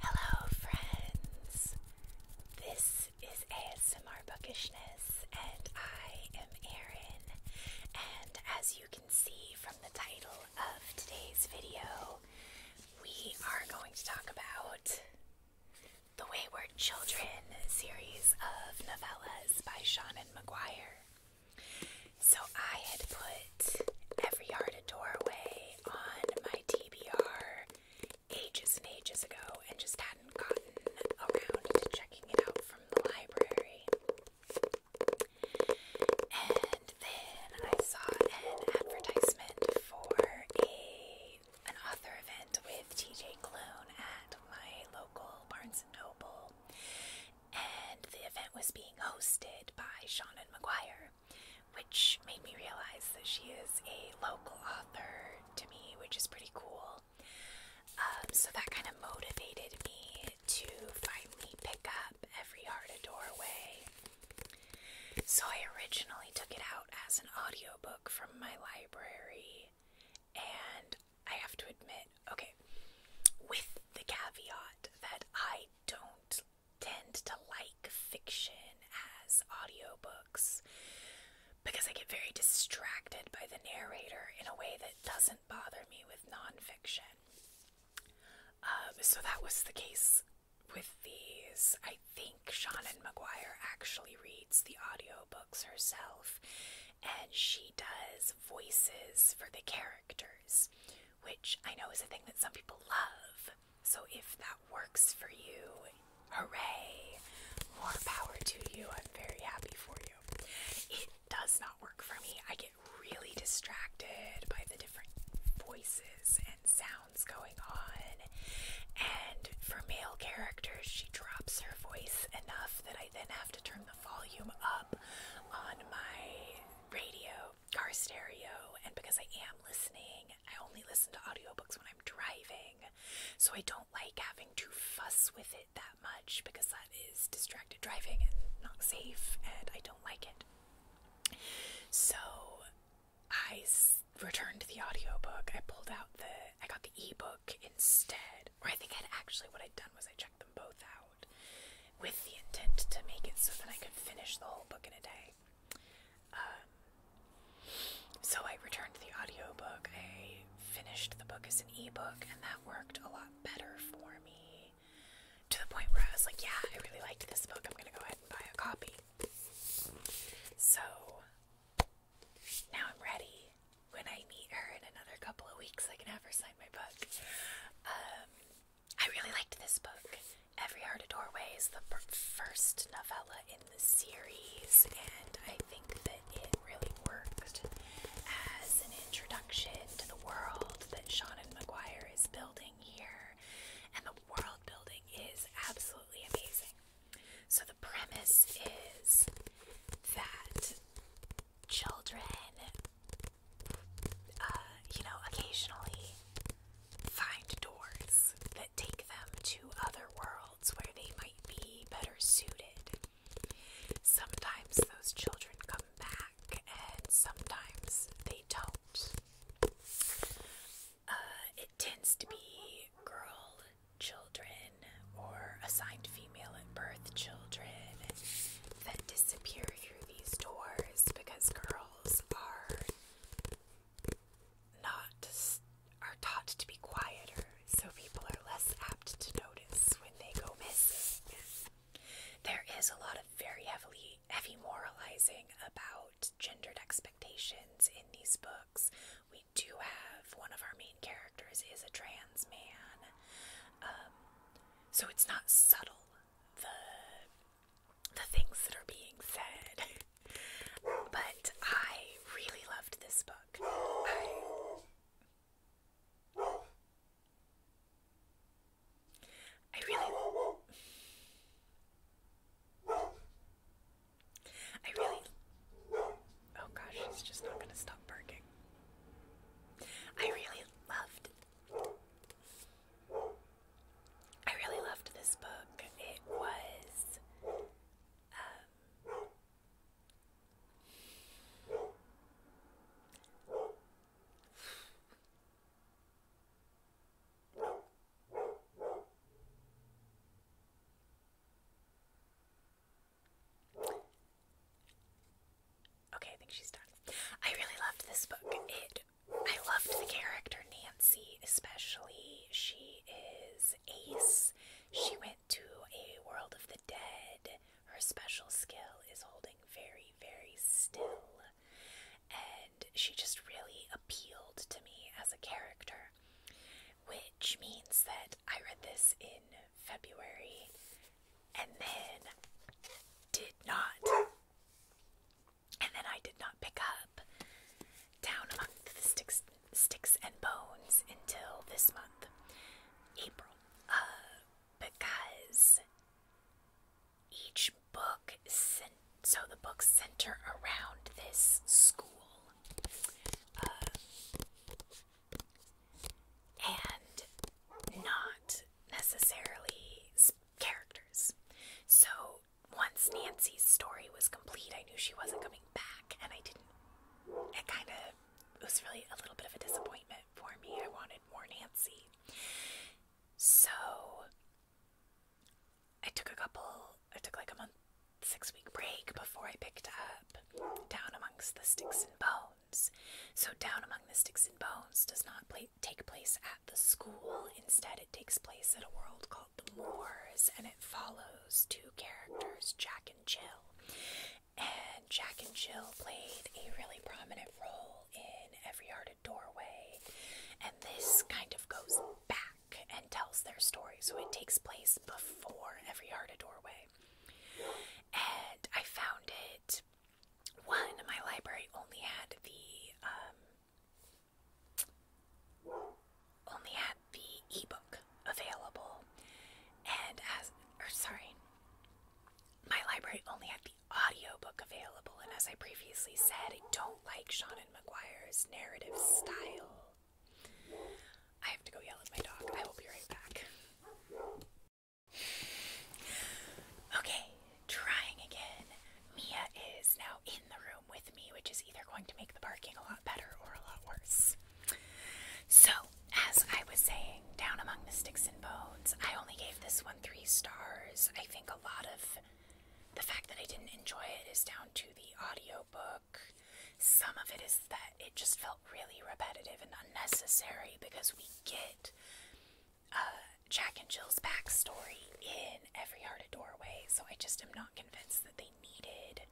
Hello, friends. This is ASMR Bookishness, and I am Erin. And as you can see from the title, of today's video, we are going to talk about the Wayward Children series of novellas by Shannon McGuire. So I had put Every Yard a Doorway on my TBR ages and ages ago and just hadn't gotten around to checking it out from the library. And then I saw an advertisement for a an author event with TJ Klune at my local Barnes and Noble. And the event was being hosted by Shannon Maguire, which made me realize that she is a local author to me, which is pretty cool. Um, so that kind of motivated me to finally pick up Every Heart a Doorway so I originally took it out as an audiobook from my library, and I have to admit, okay, with the caveat that I don't tend to like fiction as audiobooks because I get very distracted by the narrator in a way that doesn't bother me with nonfiction. Um, so that was the case with these. I think Shannon McGuire actually reads the audio books herself, and she does voices for the characters, which I know is a thing that some people love. So if that works for you, hooray! More power to you. I'm very happy for you. It does not work for me. I get really distracted by the different voices and sounds going on. And for male characters, she drops her voice enough that I then have to turn the volume up on my radio, car stereo, and because I am listening, I only listen to audiobooks when I'm driving. So I don't like having to fuss with it that much because that is distracted driving and not safe, and I don't like it. So I returned the audio book. I pulled out the I got the ebook instead. Or I think I'd actually what I'd done was I checked them both out with the intent to make it so that I could finish the whole book in a day. Um, so I returned the audio book. I finished the book as an ebook and that worked a lot better for me to the point where I was like, yeah, I really liked this book. I'm going to go ahead and buy a copy. So now I'm ready. When I meet her in another couple of weeks, I can have her sign my book. Um, I really liked this book. Every Heart of Doorway is the first novella in the series, and I think that it really worked as an introduction to the world that Sean and McGuire is building here. And the world building is absolutely amazing. So, the premise is that children, uh, you know, occasionally find doors that take them to other worlds where they might be better suited. Sometimes those children come back, and sometimes they don't helps. Uh, it tends to be girl children or assigned female at birth children that disappear through these doors because girls are not are taught to be quieter, so people are less apt to notice when they go missing. There is a lot of very heavily heavy moralizing about gendered expectations in these books. We do have one of our main characters is a trans man, um, so it's not subtle the the things that are being said. but I really loved this book. I really. I really. Oh gosh, she's just not gonna stop barking. I really loved. I really loved this book. It was. Um, Okay, I think she's done. I really loved this book. It I loved the character Nancy, especially. She is ace. She went to a world of the dead. Her special skill is holding very, very still and she just really appealed to me as a character, which means that I read this in February and then did not. And then I did not pick up Down Among the Sticks, sticks and Bones until this month, April, uh, because each book so the books center around this school uh, and not necessarily characters so once nancy's story was complete i knew she wasn't coming back and i didn't it kind of was really a little bit of a disappointment for me i wanted more nancy so I took a couple, I took like a month, six week break before I picked up Down Amongst the Sticks and Bones. So Down Among the Sticks and Bones does not take place at the school. Instead, it takes place at a world called the Moors, and it follows two characters, Jack and Jill. And Jack and Jill played a really prominent role in every hearted doorway. And this kind of goes back and tells their story. So it takes place before every hearted doorway. And I found it one, my library only had the um only had the ebook available and as or sorry my library only had the audiobook available, and as I previously said, I don't like Shannon McGuire's narrative style. I have to go yell at my dog. I will be right back. Okay, trying again. Mia is now in the room with me, which is either going to make the barking a lot better or a lot worse. So, as I was saying, down among the sticks and bones, I only gave this three stars. I think a lot of the fact that I didn't enjoy it is down to the audio book. Some of it is that it just felt really repetitive and unnecessary because we get uh, Jack and Jill's backstory in Every Heart a Doorway, so I just am not convinced that they needed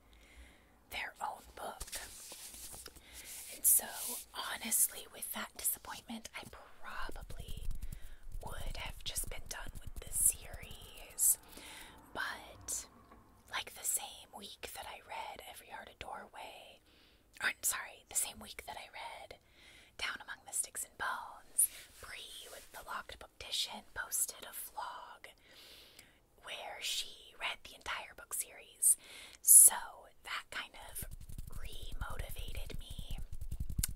their own book. And so honestly, with that disappointment, I probably would have just been done with the series. But, like the same week that I read Every Heart a Doorway, or sorry, the same week that I read Down Among the Sticks and Bones, Bree with the Locked Book Edition posted a vlog where she read the entire book series. So, that kind of re me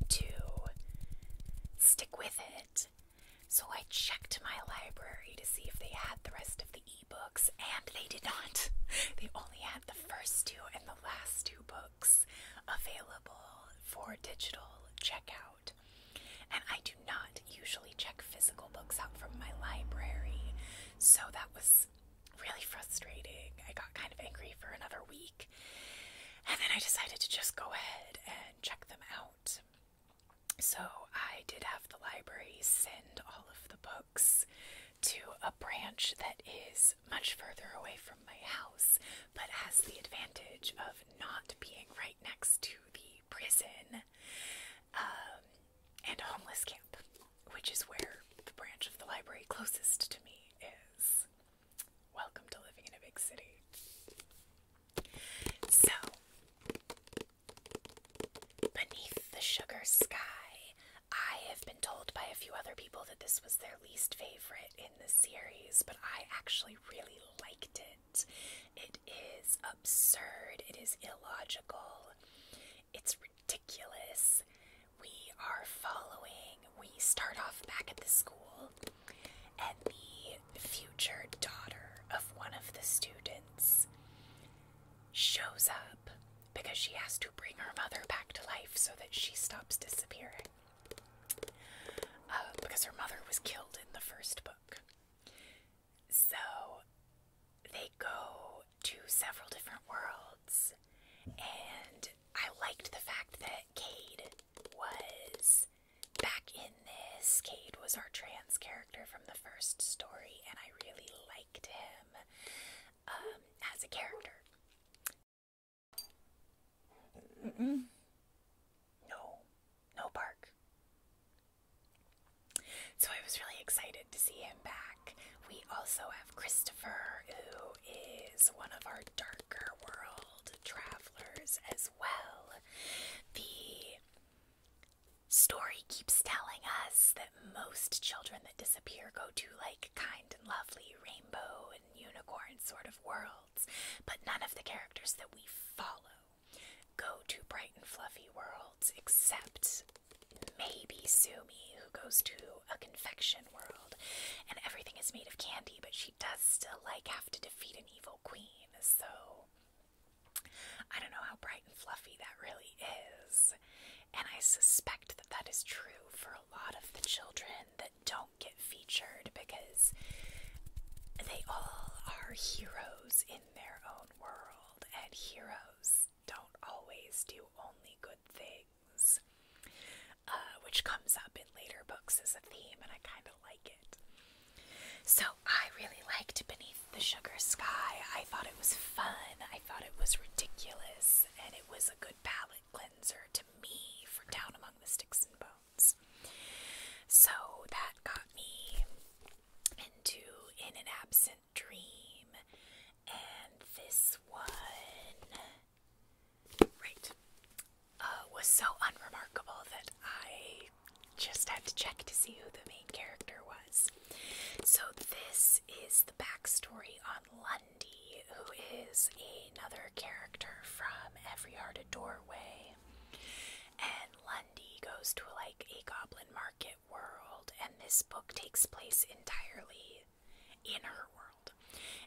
to stick with it. So I checked my library to see if they had the rest of the ebooks, and they did not. They only had the first two and the last two books available for digital checkout. And I do not usually check physical books out from my library, so that was really frustrating. I got kind of angry for another week. And then I decided to just go ahead and check them out. So I did have the library send all of the books to a branch that is much further away from my house, but has the advantage of not being right next to the prison um, and homeless camp which is where the branch of the library closest to me is. Welcome to living in a big city. So, beneath the sugar sky, I have been told by a few other people that this was their least favorite in the series, but I actually really liked it. It is absurd, it is illogical, it's ridiculous. We are following, we start off back at the school, and the future daughter of one of the students shows up because she has to bring her mother back to life so that she stops disappearing. Uh, because her mother was killed in the first book. So they go to several different worlds, and I liked the fact that Cade was back in this. Cade was our trans character from the first story, and I really liked him um, as a character. No, no bark. So I was really excited to see him back. We also have Christopher, who is one of our darker world travelers as well. The story keeps telling us that most children that disappear go to like kind and lovely rainbow and unicorn sort of worlds, but none of the characters that we follow go to bright and fluffy worlds except maybe Sumi, who goes to a confection world and everything is made of candy, but she does still like have to defeat an evil queen. So I don't know how bright and fluffy that really is. And I suspect that that is true for a lot of the children that don't get featured because they all are heroes in their own world, and heroes don't always do only good things. Uh, which comes up in later books as a theme, and I kind of like it. So I really liked Beneath the Sugar Sky. I thought it was fun, I thought it was ridiculous, and it was a good palate cleanser to me for Down Among the Sticks and Bones. So that got me into In an Absence dream, and this one, right, uh, was so unremarkable that I just had to check to see who the main character was. So, this is the backstory on Lundy, who is another character from Every Heart a Doorway. And Lundy goes to like a goblin market world, and this book takes place entirely in her world.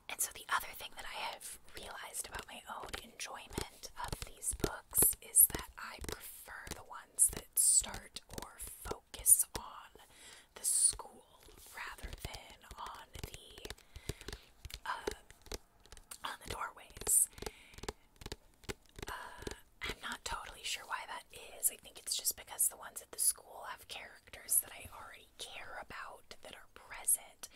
And so, the other thing that I have realized about my own enjoyment of these books is that I prefer the ones that start or focus on the school rather than on the uh, on the doorways. Uh, I'm not totally sure why that is. I think it's just because the ones at the school have characters that I already care about that are present,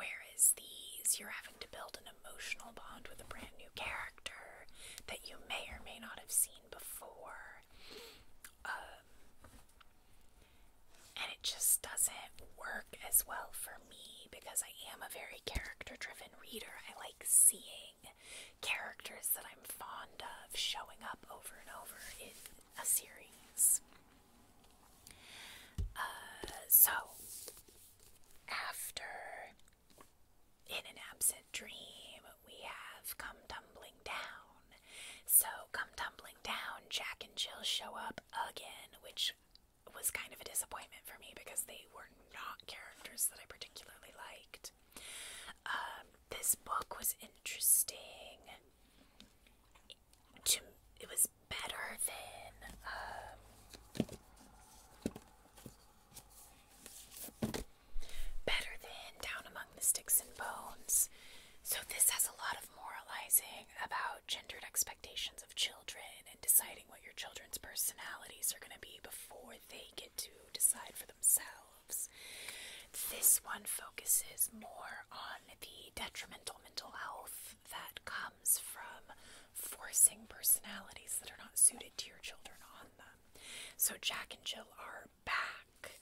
whereas these, you're having to build an emotional bond with a brand new character that you may or may not have seen before. Um, and it just doesn't work as well for me because I am a very character driven reader. I like seeing characters that I'm fond of showing up over and over in a series. Uh, so, after In an Absent Dream, we have Come Tumbling Down. So, Come Tumbling Down, Jack and Jill show up again, which was kind of a disappointment for me because they were not characters that I particularly liked. Um, this book was interesting. To, it was better than. Um, better than Down Among the Sticks and Bones. So, this has a lot of moralizing about gendered expectations of children and deciding what your children's personalities are going to be before they get to decide for themselves. This one focuses more on the detrimental mental health that comes from forcing personalities that are not suited to your children on them. So, Jack and Jill are back.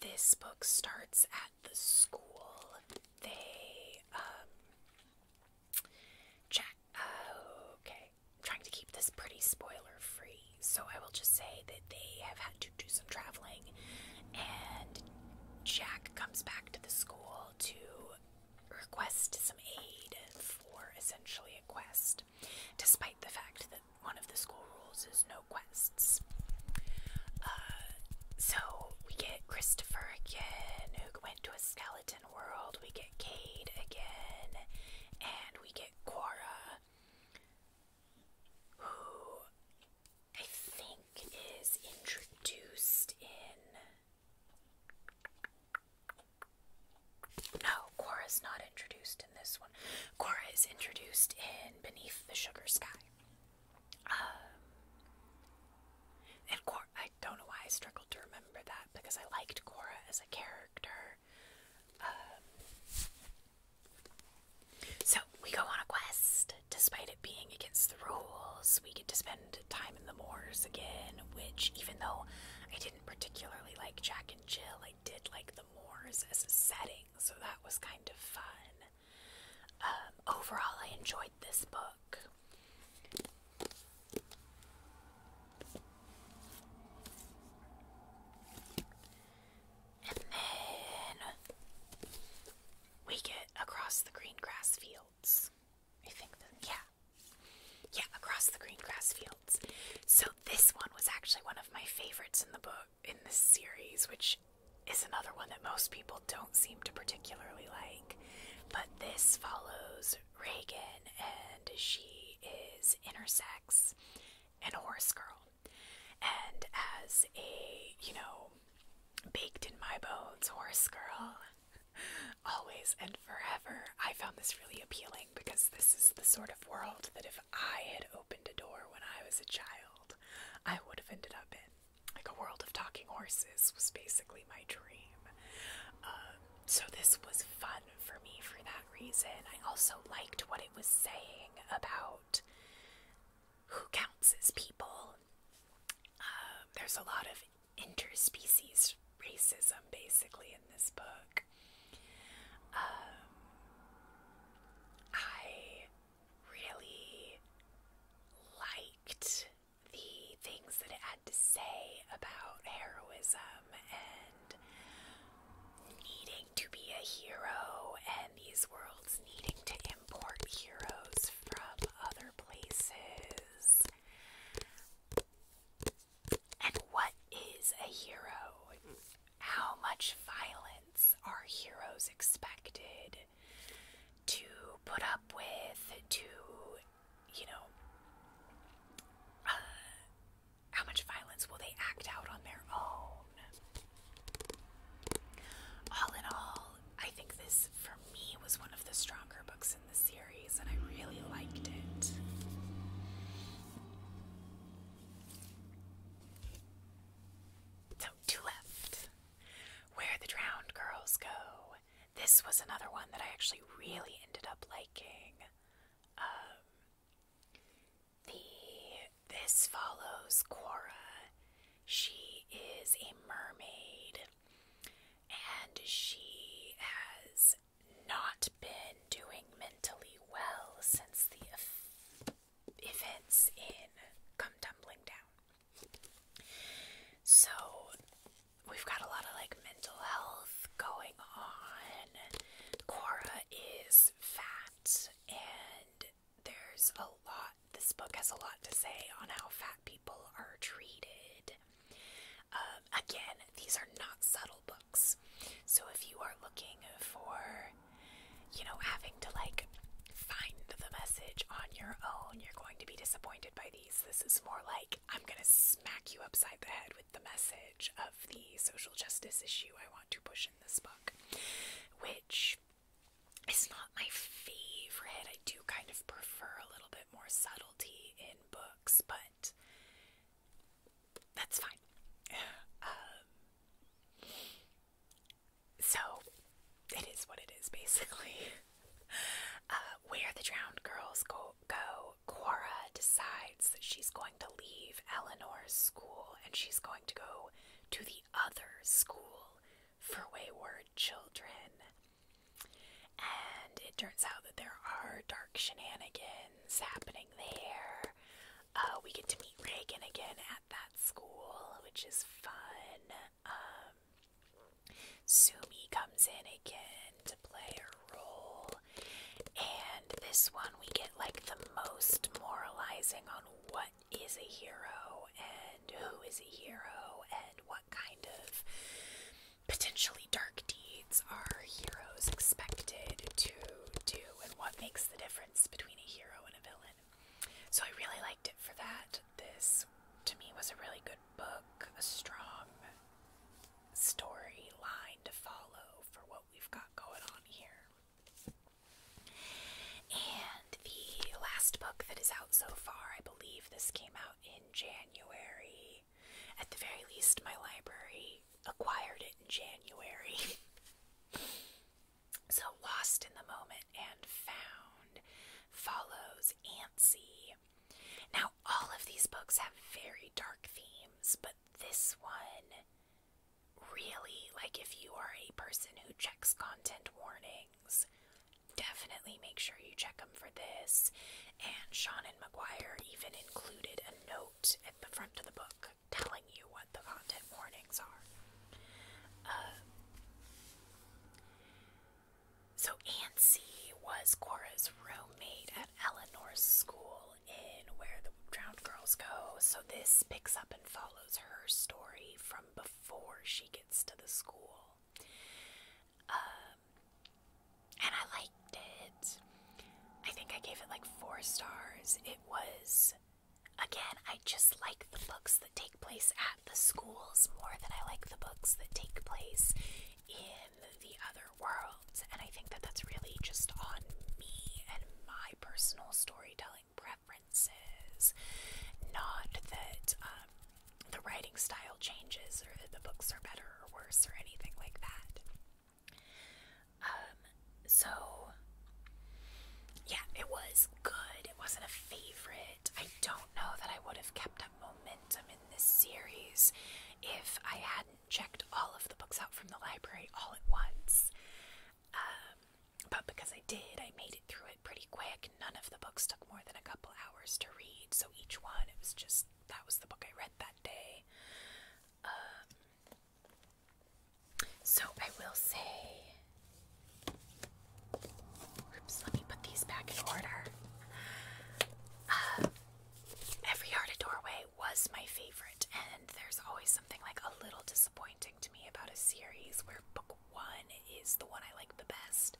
This book starts at the school. They, um, Jack, uh, okay, I'm trying to keep this pretty spoiler free. So I will just say that they have had to do some traveling, and Jack comes back to the school to request some aid for essentially a quest, despite the fact that one of the school rules is no quests. Uh, so we get Christopher again, who went to a skeleton world, we get Cade again, and we get Quora who I think is introduced in. No, Korra not introduced in this one. Korra is introduced in Beneath the Sugar Sky. Um, and Korra, I don't know why I struggled to remember that because I liked Cora as a character. Um, so we go on a quest. Despite it being against the rules, we get to spend time in the moors again, which, even though I didn't particularly like Jack and Jill, I did like the moors as a setting, so that was kind of fun. Um, overall, I enjoyed this book. And then we get across the green grass fields. I think yeah. Yeah, across the green grass fields. So this one was actually one of my favorites in the book in this series, which is another one that most people don't seem to particularly like. But this follows Reagan and she is intersex and Horse Girl. And as a, you know, baked in my bones Horse Girl, always and forever, I found this really appealing because this is the sort of world that if I had opened a door when I was a child, I would have ended up in. Like a world of talking horses was basically my dream. Um, so this was fun for me for that reason. I also liked what it was saying about who counts as people. Um, there's a lot of interspecies racism basically in this book. Um, I really liked the things that it had to say about heroism and and needing to be a hero and these worlds needing to import heroes from other places. And what is a hero? How much violence are heroes expected to put up with, to, you know, uh, how much violence will they act out on their own? All in all, I think this, for me, was one of the stronger books in the series, and I really liked it. So, two left. Where the Drowned Girls Go. This was another one that I actually really ended up liking. Um, the this follows Quora. She is a mermaid and she has not been doing mentally well since the events in Come Tumbling Down. So we've got a lot of like mental health going on. Cora is fat, and there's a lot. This book has a lot to say on how fat people are treated. Um, again, these are not subtle books, so if you are looking for, you know, having to like find the message on your own, you're going to be disappointed by these. This is more like I'm gonna smack you upside the head with the message of the social justice issue I want to push in this book, which is not my favorite. I do kind of prefer a little bit more subtlety in books, but that's fine. Um, so it is what it is, basically. Uh, where the drowned girls go Cora decides that she's going to leave Eleanor's school and she's going to go to the other school for wayward children. And it turns out that there are dark shenanigans happening there. Uh, we get to meet Reagan again at that school, which is fun. Um, Sumi comes in again to play a role. And this one, we get like the most moralizing on what is a hero and who is a hero and what kind of potentially dark deeds are heroes expected to do and what makes the difference between a hero and a villain. So I really liked it for that. This, to me, was a really good book, a strong storyline to follow for what we've got going on here. And the last book that is out so far, I believe this came out in January. At the very least, my library acquired it in January. so, Lost in the Moment and Found follows Antsy. Now, all of these books have very dark themes, but this one really, like, if you are a person who checks content warnings, definitely make sure you check them for this. And Sean and McGuire even included a note at the front of the book telling you what the content warnings are. Um, so Nancy was Cora's roommate at Eleanor's school in Where the Drowned Girls Go. So this picks up and follows her story from before she gets to the school. Um, and I liked it. I think I gave it like four stars. It was, again, I just like the books that take place at the schools more than I like the books that take place in the other worlds. And I think that that's really just on me and my personal storytelling preferences. Not that um, the writing style changes or that the books are better or worse or anything like that. Um, so, yeah, it was good. It wasn't a favorite. I don't know that I would have kept up momentum in this series if I had not checked all of the books out from the library all at once. Um, but because I did, I made it through it pretty quick. None of the books took more than a couple hours to read, so each one, it was just that was the book I read that day. Um, so I will say. Oops, let me put these back in order. Uh, every Yard a Doorway was my favorite, and there's always something like a little disappointing to me about a series where book one is the one I like the best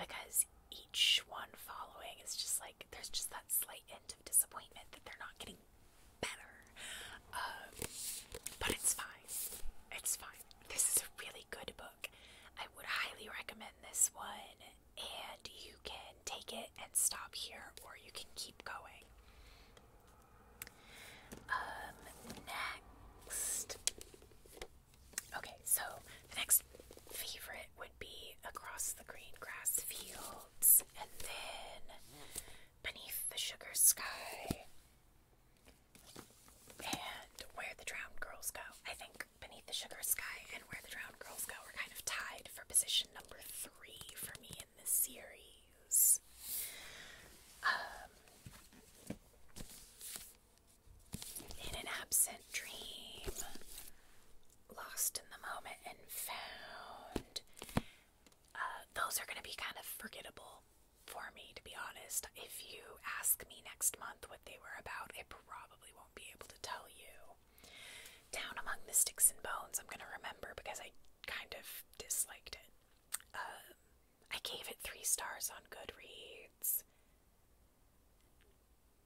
because each one following is just like there's just that slight hint of disappointment that they're not getting better. Um, but it's fine. It's fine. This is a really good book. I would highly recommend this one and you can take it and stop here, or you can keep going. Um, next. Okay, so the next favorite would be across the green grass fields, and then beneath the sugar sky, and where the drowned girls go. I think beneath the sugar sky and where the drowned girls go are kind of tied for position number three for me in this series. Um, in an absent dream, lost in the moment and found. Uh, those are going to be kind of forgettable for me, to be honest. If you ask me next month what they were about, I probably won't be able to tell you. Down Among the Sticks and Bones, I'm gonna remember because I kind of disliked it. Um, I gave it three stars on Goodreads.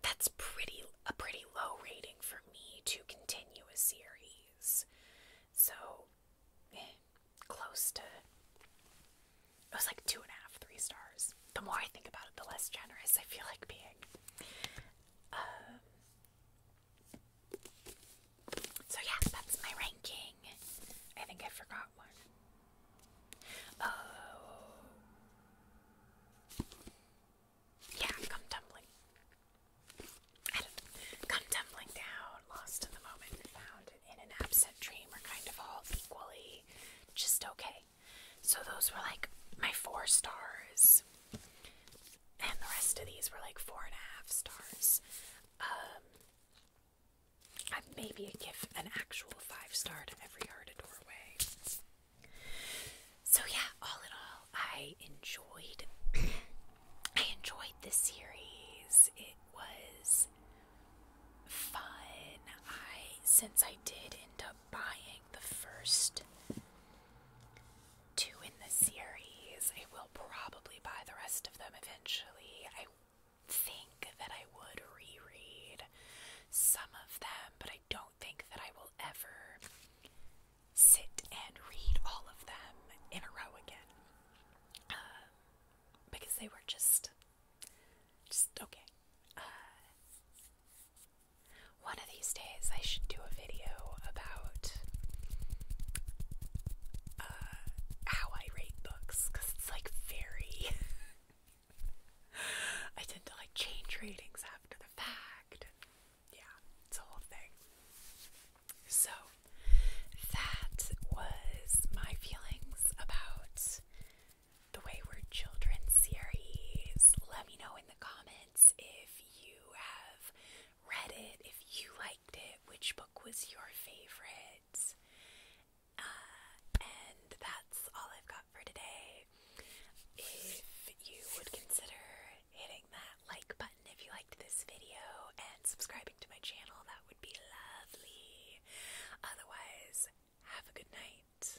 That's pretty a pretty low rating for me to continue a series. So eh, close to it was like two and a half, three stars. The more I think about it, the less generous I feel like being. Um, so yeah, that's my ranking. I think I forgot one. Oh. Yeah, come tumbling. Come tumbling down, lost in the moment, found in an absent dream are kind of all equally just okay. So those were like my four stars. And the rest of these were like four and a half stars. Um, I'd maybe give an actual five star to every heart a doorway. So yeah, all in all, I enjoyed. I enjoyed the series. It was fun. I since I did end up buying the first two in the series. I will probably buy the rest of them eventually. I think that I would reread some of them, but I don't think that I will ever sit and read all of them in a row again. Um, because they were just, just okay. Uh, one of these days, I should do a video about uh, how I rate books it's like very. I tend to like change ratings after the fact. Yeah, it's a thing. So, that was my feelings about the Wayward Children series. Let me know in comments if you have read it, if you liked it, which book was your favorite. Uh, and that's all I've got for today. If you would consider hitting that like button if you liked this video and subscribing to my channel, that would be lovely. Otherwise, have a good night.